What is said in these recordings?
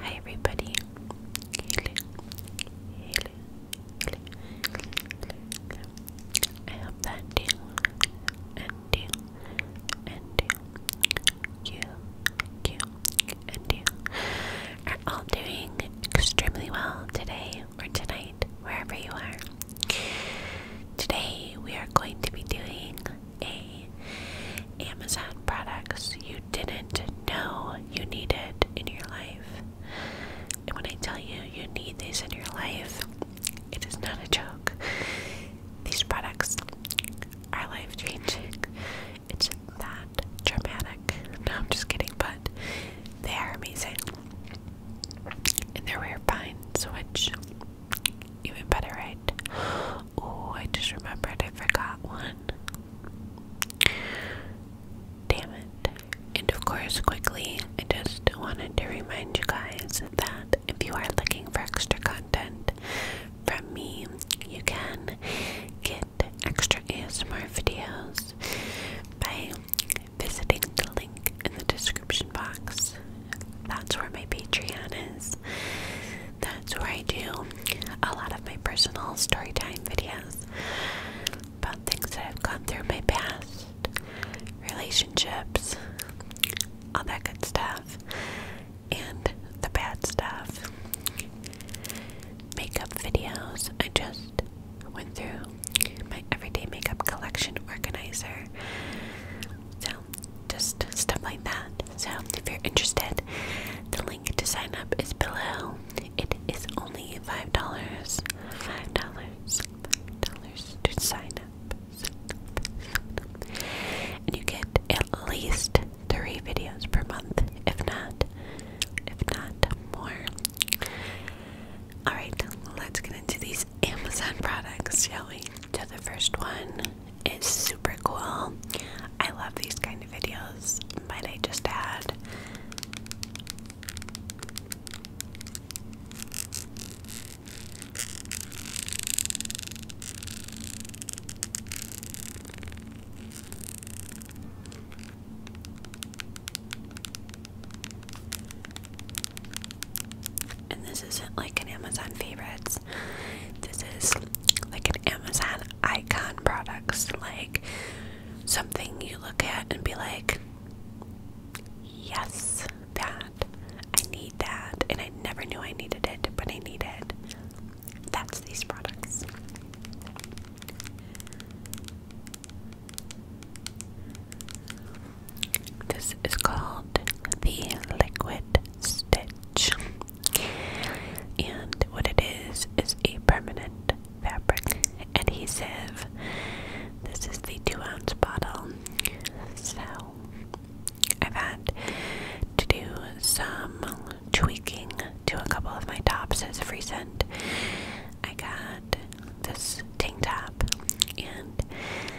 Hi everybody. I hope that you and you and you you and you are all doing extremely well today or tonight, wherever you are. Today we are going to be doing a Amazon products you didn't know you needed in your life. And when I tell you you need these in your life, it is not a joke. These products are life changing. It's that dramatic. No, I'm just kidding, but they are amazing. And they're rare finds, which even better, right? Oh, I just remembered I forgot one. Damn it. And of course, quickly, I just wanted to remind you guys that if you are looking for extra content from me, you can get extra ASMR videos by visiting the link in the description box. That's where my Patreon is. That's where I do a lot of my personal storytime videos about things that I've gone through in my past, relationships, all that good stuff, and the bad stuff. Makeup videos. I just went through my everyday makeup collection organizer. So just stuff like that. So if you're interested, the link to sign up is below. It is only five dollars. Five dollars. dollars to sign up. Sign up. And you get at least three videos per month, if not, if not more. Alright, let's get into these Amazon products, shall we? To the first one is super cool. I love these kind of videos, might I just add and this isn't like an Amazon favorites. This is like an Amazon icon products, like something you look at and be like, yes, that. I need that. And I never knew I needed it, but I needed. it. That's these products. This is called the Liquid Stitch. And what it is is a permanent fabric adhesive. This is the two ounce bottle. So I've had to do some tweaking to a couple of my tops as of recent. I got this tank top and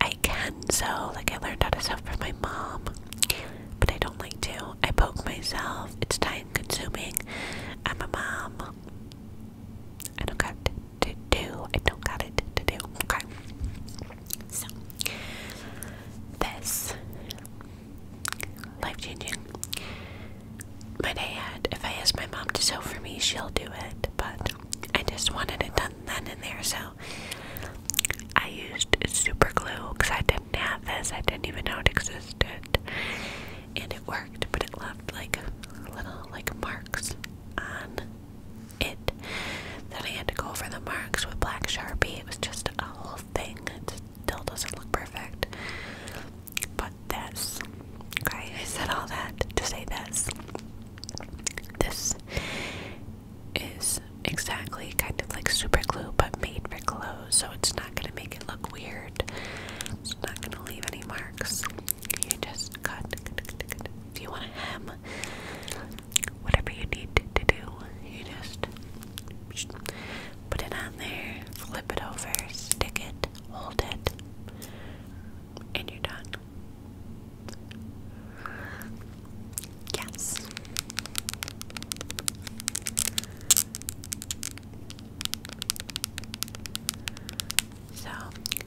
I can sew, like I learned how to sew from my mom, but I don't like to. I poke myself, it's time consuming. I'm a mom. I don't got to do, I don't got it to do. Okay. So, this life changing. My dad, if I ask my mom to sew for me, she'll do it, but I just wanted it done then and there, so I used super glue because I didn't have this. I didn't even know it existed. And it worked, but it left like little like marks on it. Then I had to go over the marks with black sharpie. It was just a whole thing. It still doesn't look perfect. But this, okay, I said all that to say this. This is exactly kind of like super glue but made for clothes, so it's not going to make it look weird. It's not going to leave any marks. You just cut, you want to hem, whatever you need to do, you just put it on there, flip it over, stick it, hold it, and you're done. Yes. So,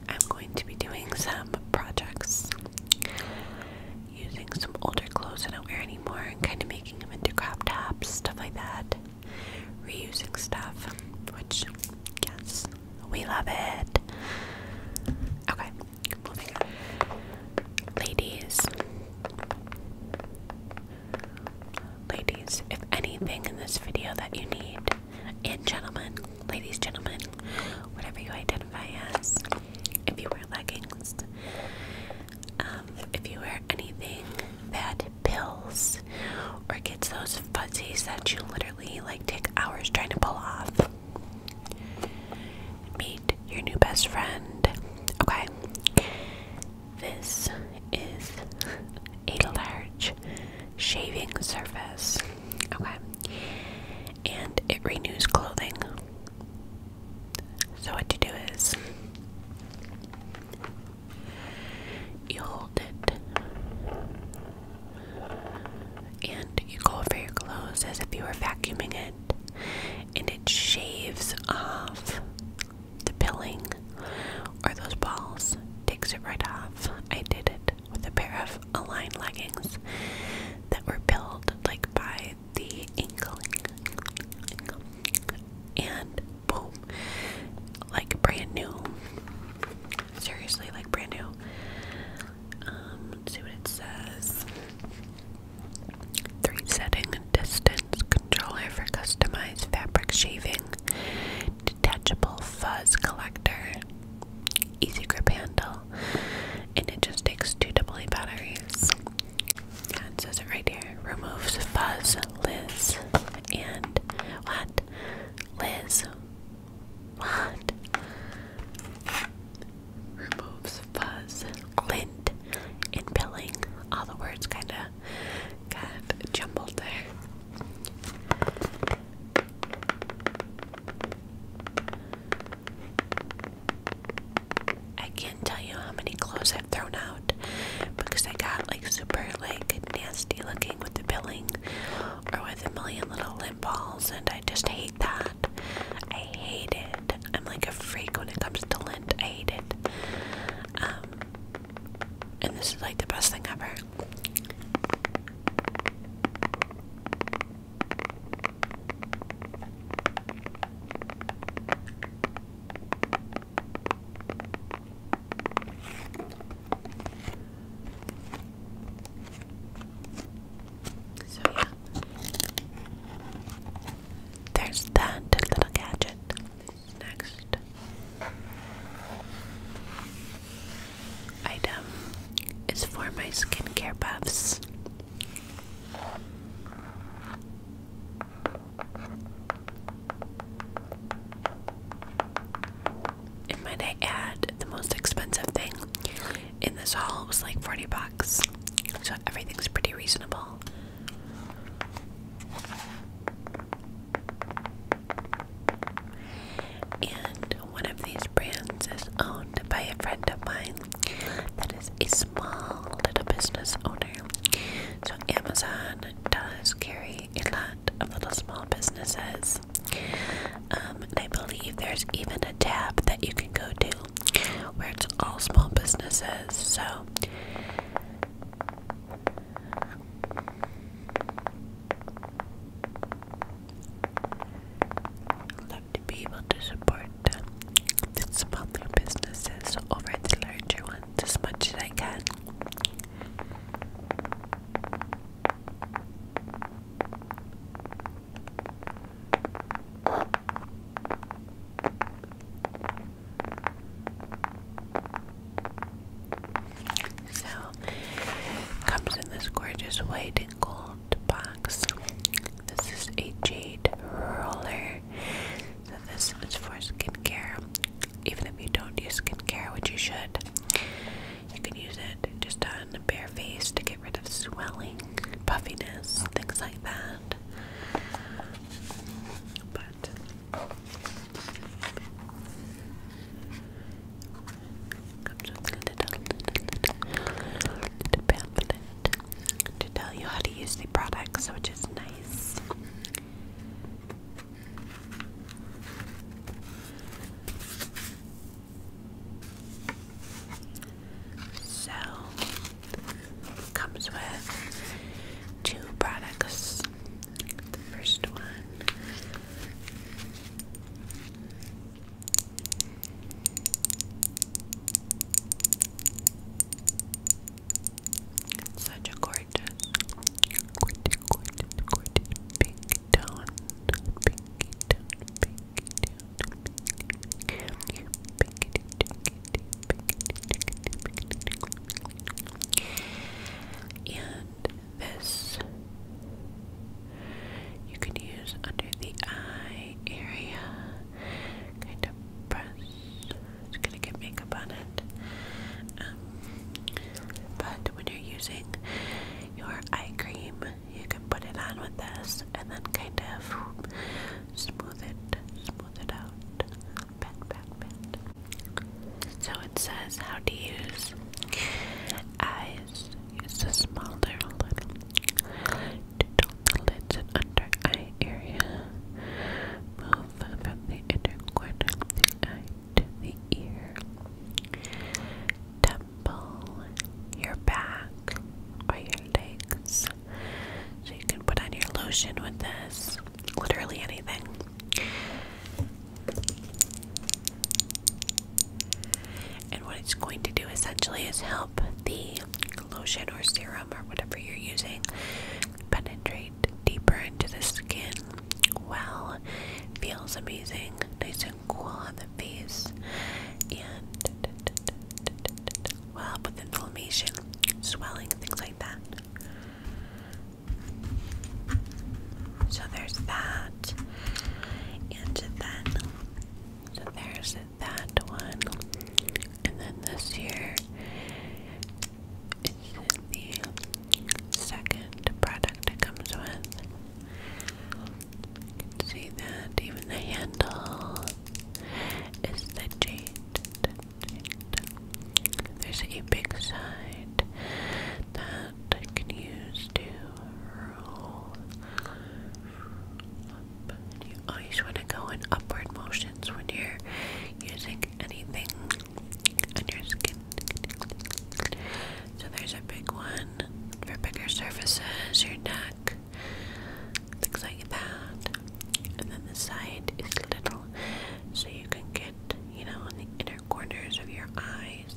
I'm going to be doing some projects using some older clothes I don't wear anymore and kind of making them into crop tops, stuff like that. Reusing stuff, which, yes, we love it. Okay, Ladies, ladies, if anything in this video that you need, and gentlemen, ladies, gentlemen, whatever you identify as, if you wear leggings, um, if you wear anything that pills or gets those fuzzies that you literally like take hours trying to pull off, Meet your new best friend. Okay. This is a large shaving surface. Okay. And it renews clothing. So, what you do is you hold it and you go over your clothes as if you were vacuuming it, and it shaves off the pilling or those balls, takes it right off. I did it with a pair of aligned leggings that were pilled like by the ankle, and boom, like brand new. Seriously, like brand new. Um, let's see what it says. Three setting distance controller for customized fabric shaving. Detachable fuzz collector. Easy grip handle. And it just takes two AA batteries. Yeah, it says it right here. Removes fuzz, Liz, and what? Liz. What? Removes fuzz, lint, and pilling. All the words kind of got jumbled there. I can't tell you how many clothes I've thrown out because I got like super like nasty looking with the billing or with a million little lint balls and I just hate that. I hate it. I'm like a freak when it comes to lint. I hate it. Um, and this is like the best thing ever. So yeah. There's that little gadget. Next item is for my skincare buffs. And might I add the most expensive thing in this haul was like 40 bucks. So everything's pretty reasonable. And one of these brands is owned by a friend of mine that is a small little business owner. So Amazon does carry a lot of little small businesses. Um, I believe there's even a tab that you can go to where it's all small businesses. So, love to be able to support the smaller businesses over the larger ones as much as I can. So, comes in this gorgeous white and gold box. This is a jade roller. So, this is for skincare. Even if you don't use skincare, which you should, you can use it just to. Uh, on bare face to get rid of swelling, puffiness, things like that. But to tell you how to use the products, which is nice. So comes with two products. The first one such a gorgeous, gorgeous, gorgeous, gorgeous pink tone, pinky tone, pinky tone. And this you can use under the eye area. Kind of press. It's gonna get makeup on it. Um, but when you're using your eye cream, you can put it on with this and then kind of smooth it, smooth it out. Pat, pat, pat. So it says how to use eyes. Use the smaller little to lids and under eye area. Move from the inner corner of the eye to the ear. Temple, your back, or your legs, so you can put on your lotion with this, literally anything. And what it's going to do essentially is help the lotion or serum or whatever you're using penetrate deeper into the skin. Well, feels amazing, nice and cool on the face, and will help with inflammation, swelling, things like that. So there's that. And then, there's that one. And then this here is the second product it comes with. see that, even the handle is the jade, There's a big side that I can use to roll up. You always want to go in upward motions when you're using anything on your skin. So there's a big one for bigger surfaces, your neck, things like that. And then the side is little, so you can get, you know, on the inner corners of your eyes,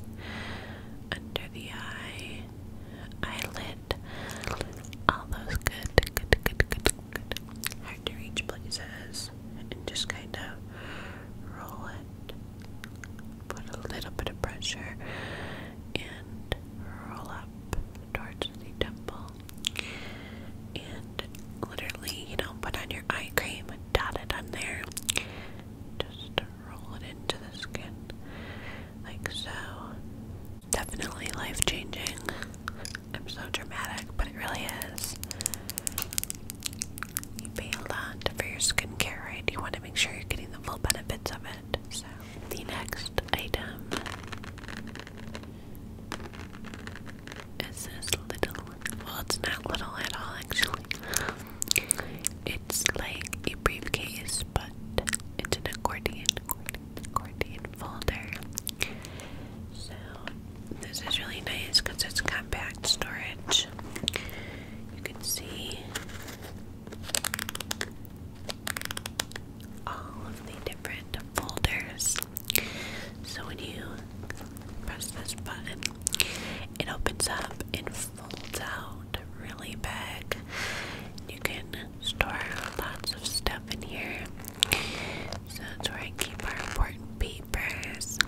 under the eye, eyelid, all those good, good, good, good, good, hard to reach places, and just kind of roll it. Put a little bit of pressure and roll up, towards the temple. And literally, you know, put on your eye cream and dot it on there. Just roll it into the skin. Like so. Definitely life changing. I'm so dramatic, but it really is. You pay a lot for your skincare, right? You want to make sure you're getting the full benefits of it. So, the next item it's this little, well, it's not little at all actually. It's like a briefcase, but it's an accordion, accordion, accordion folder. So, this is really nice because it's compact storage. You can see all of the different folders. So when you press this button, it opens up and folds out really big. You can store lots of stuff in here. So that's where I keep our important papers,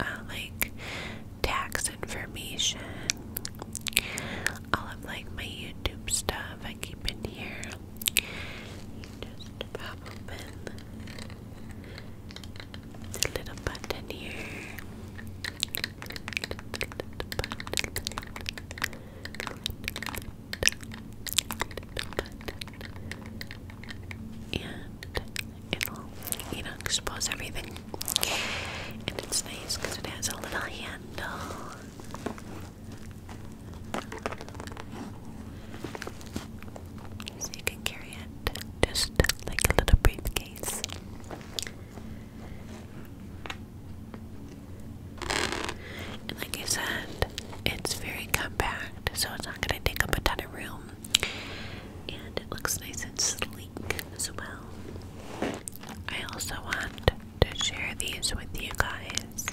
uh, like tax information. All of like my YouTube stuff I keep in here just pop open the little button here. And it'll, you know, expose everything. And it's nice because it has a little handle. So you can carry it just like a little briefcase. And like I said, it's very compact, so it's not going to take up a ton of room. And it looks nice and sleek as well. I also want to share these with you guys.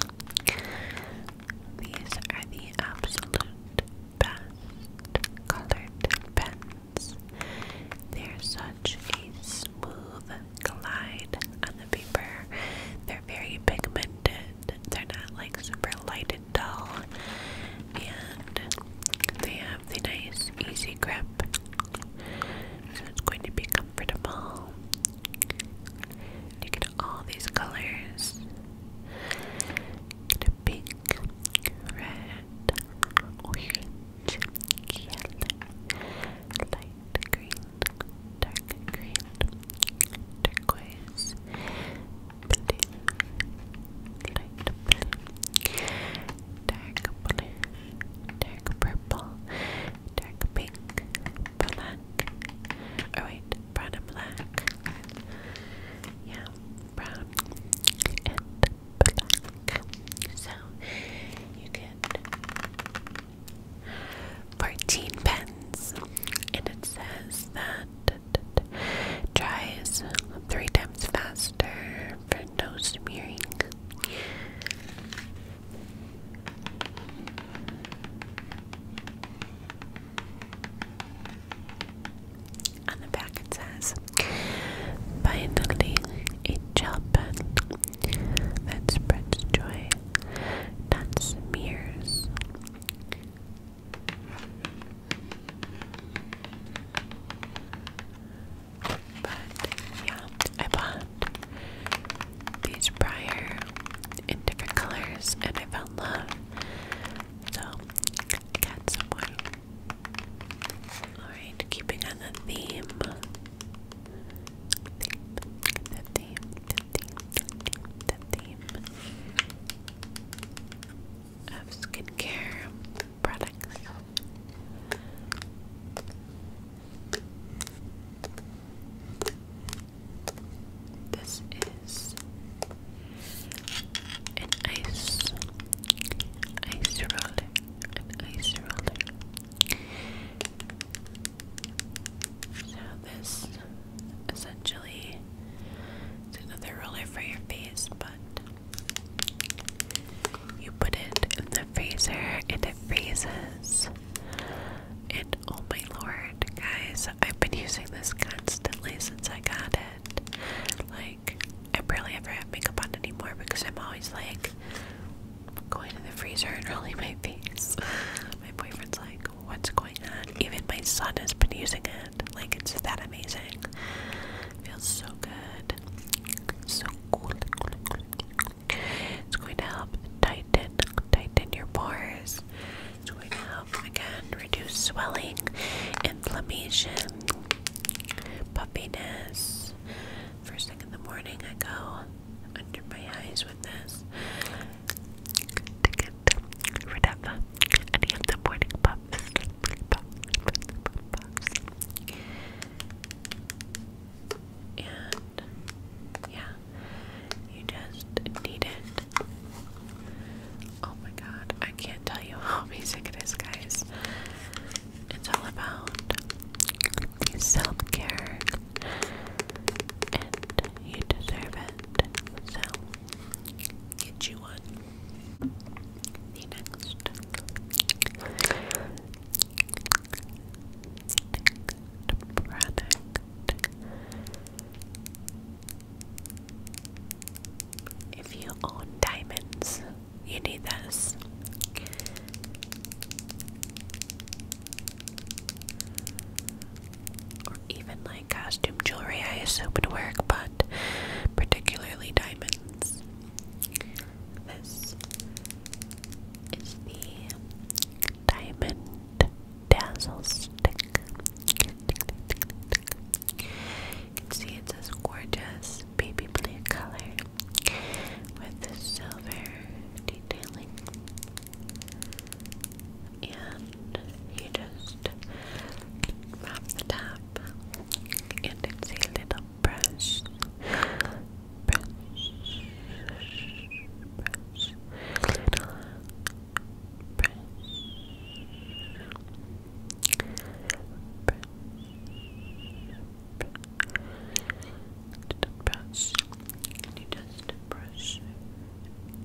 These are the absolute best colored pens. They're such a smooth glide on the paper. They're very pigmented. They're not like super light and dull. And they have the nice easy grip. So it's going to be comfortable. You get all these colors. pink, red, orange, yellow, light green, dark green, turquoise, light blue, dark blue, dark purple, dark pink, black, oh wait, brown and black, yeah, brown and black, so you get 14 pens, and it says that dries three times faster for no smearing on the back it says, finally a childbirth that spreads joy, not smears. But yeah, I bought beach prior in different colors, and I found love. So I got someone. Alright, keeping on the theme. the theme, the theme, the theme, the theme of skincare products. This is an ice ice roller. An ice roller. So this essentially is another roller for your face, but you put it in the freezer and it freezes oh my lord, guys, I've been using this constantly since I got it. Like, I barely ever have makeup on anymore because I'm always like going to the freezer and rolling my face. my boyfriend's like, what's going on? Even my son has been using it. Like, it's that amazing. It feels so good. So cool. It's going to help tighten, tighten your pores, it's going to help again reduce swelling, inflammation, puffiness. First thing in the morning, I go under my eyes with this to get rid of any of the morning puffs. And yeah, you just need it. Oh my god, I can't tell you how basic it is, guys. It's all about self care, and you deserve it. So, get you one. The next. Next product if you own diamonds, you need this. Or even like costume jewelry, I assume would work, but particularly diamonds. This is the diamond dazzle stick. see it's this gorgeous baby blue color with the silver detailing. And you just wrap the top and it's little brush. Brush, brush, little you just brush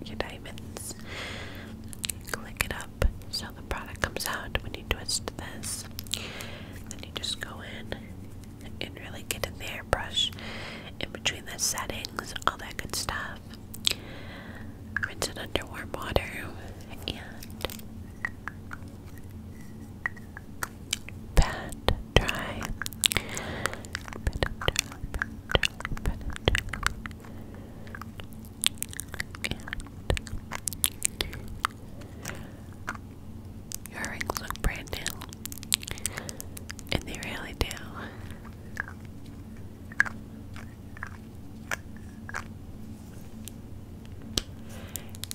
your diamonds? Click it up so the product comes out when you twist this. Then you just go in and really get in there, brush in between the settings, all that good stuff. Rinse it under warm water and pat dry. your rings look brand new. And they really do.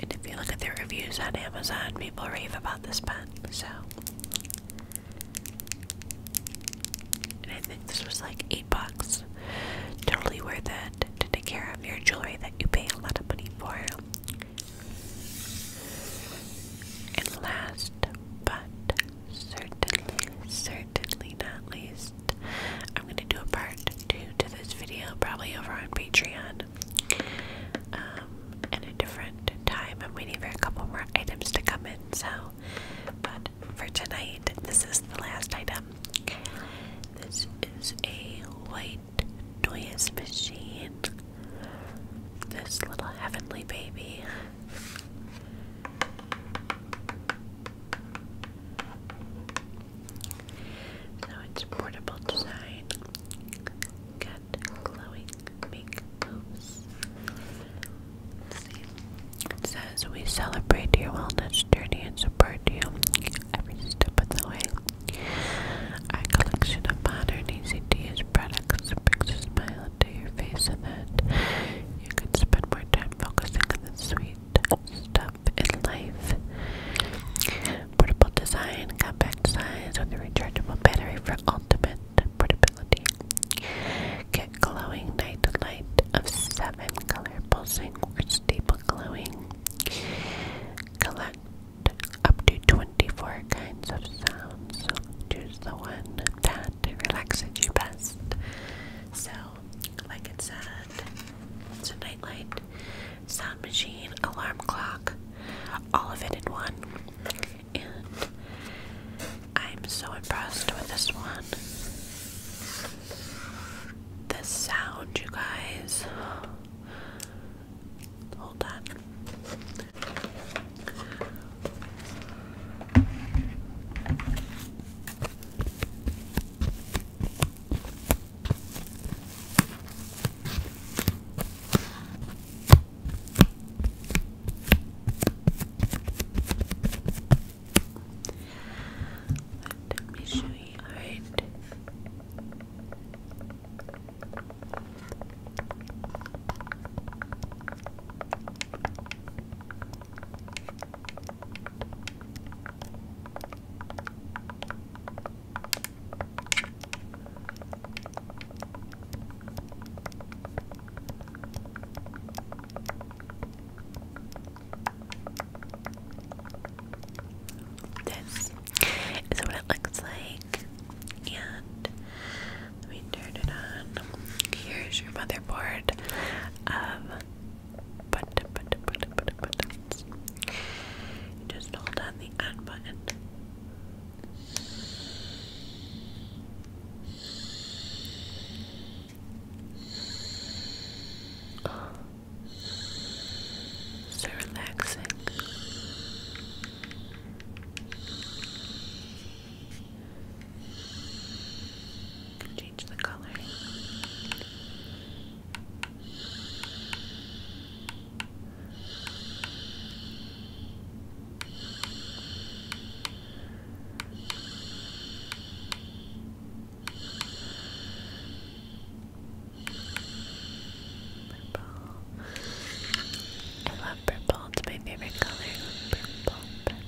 And if you look at the reviews on Amazon, people rave about this pen, so. And I think this was like 8 bucks. Totally worth it to take care of your jewelry that you pay a lot of money for. And last but Certainly, certainly not least, I'm going to do a part two to this video, probably over on Patreon, um, at a different time. I'm waiting for a couple more items to come in, so, but for tonight, this is the last item. This is a white noise machine. This little heavenly baby. So it's portable design. Got glowing big It says we celebrate your wellness journey and support you every step of the way. Our collection of modern, easy to use products brings a smile to your face and that you can spend more time focusing on the sweet stuff in life. Portable design, compact size with a rechargeable battery for ultimate portability. Get glowing night light of seven color pulsing or stable glowing. Collect up to 24 kinds of sounds. choose the one that to relax at your best. So, like it said, it's a nightlight, sound machine, alarm clock, all of it in one. I'm so impressed with this one. The sound, you guys. Hold on. Let me show you. Alright. This is what it looks like, and let me turn it on. Here's your motherboard of um, but but but but buttons. just hold on the on button. So relaxing. Can change the color. Purple. I love purple. It's my favorite color. purple,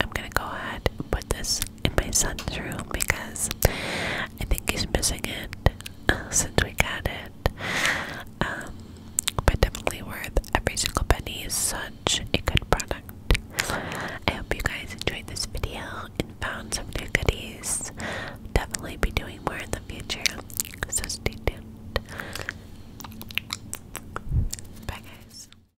I'm gonna go ahead and put this in my son's room because I think he's missing it uh, since we got it. Um, but definitely worth every single penny. Is such a good product. I hope you guys enjoyed this video and found some new goodies. Definitely be doing more in the future, so stay tuned. Bye, guys.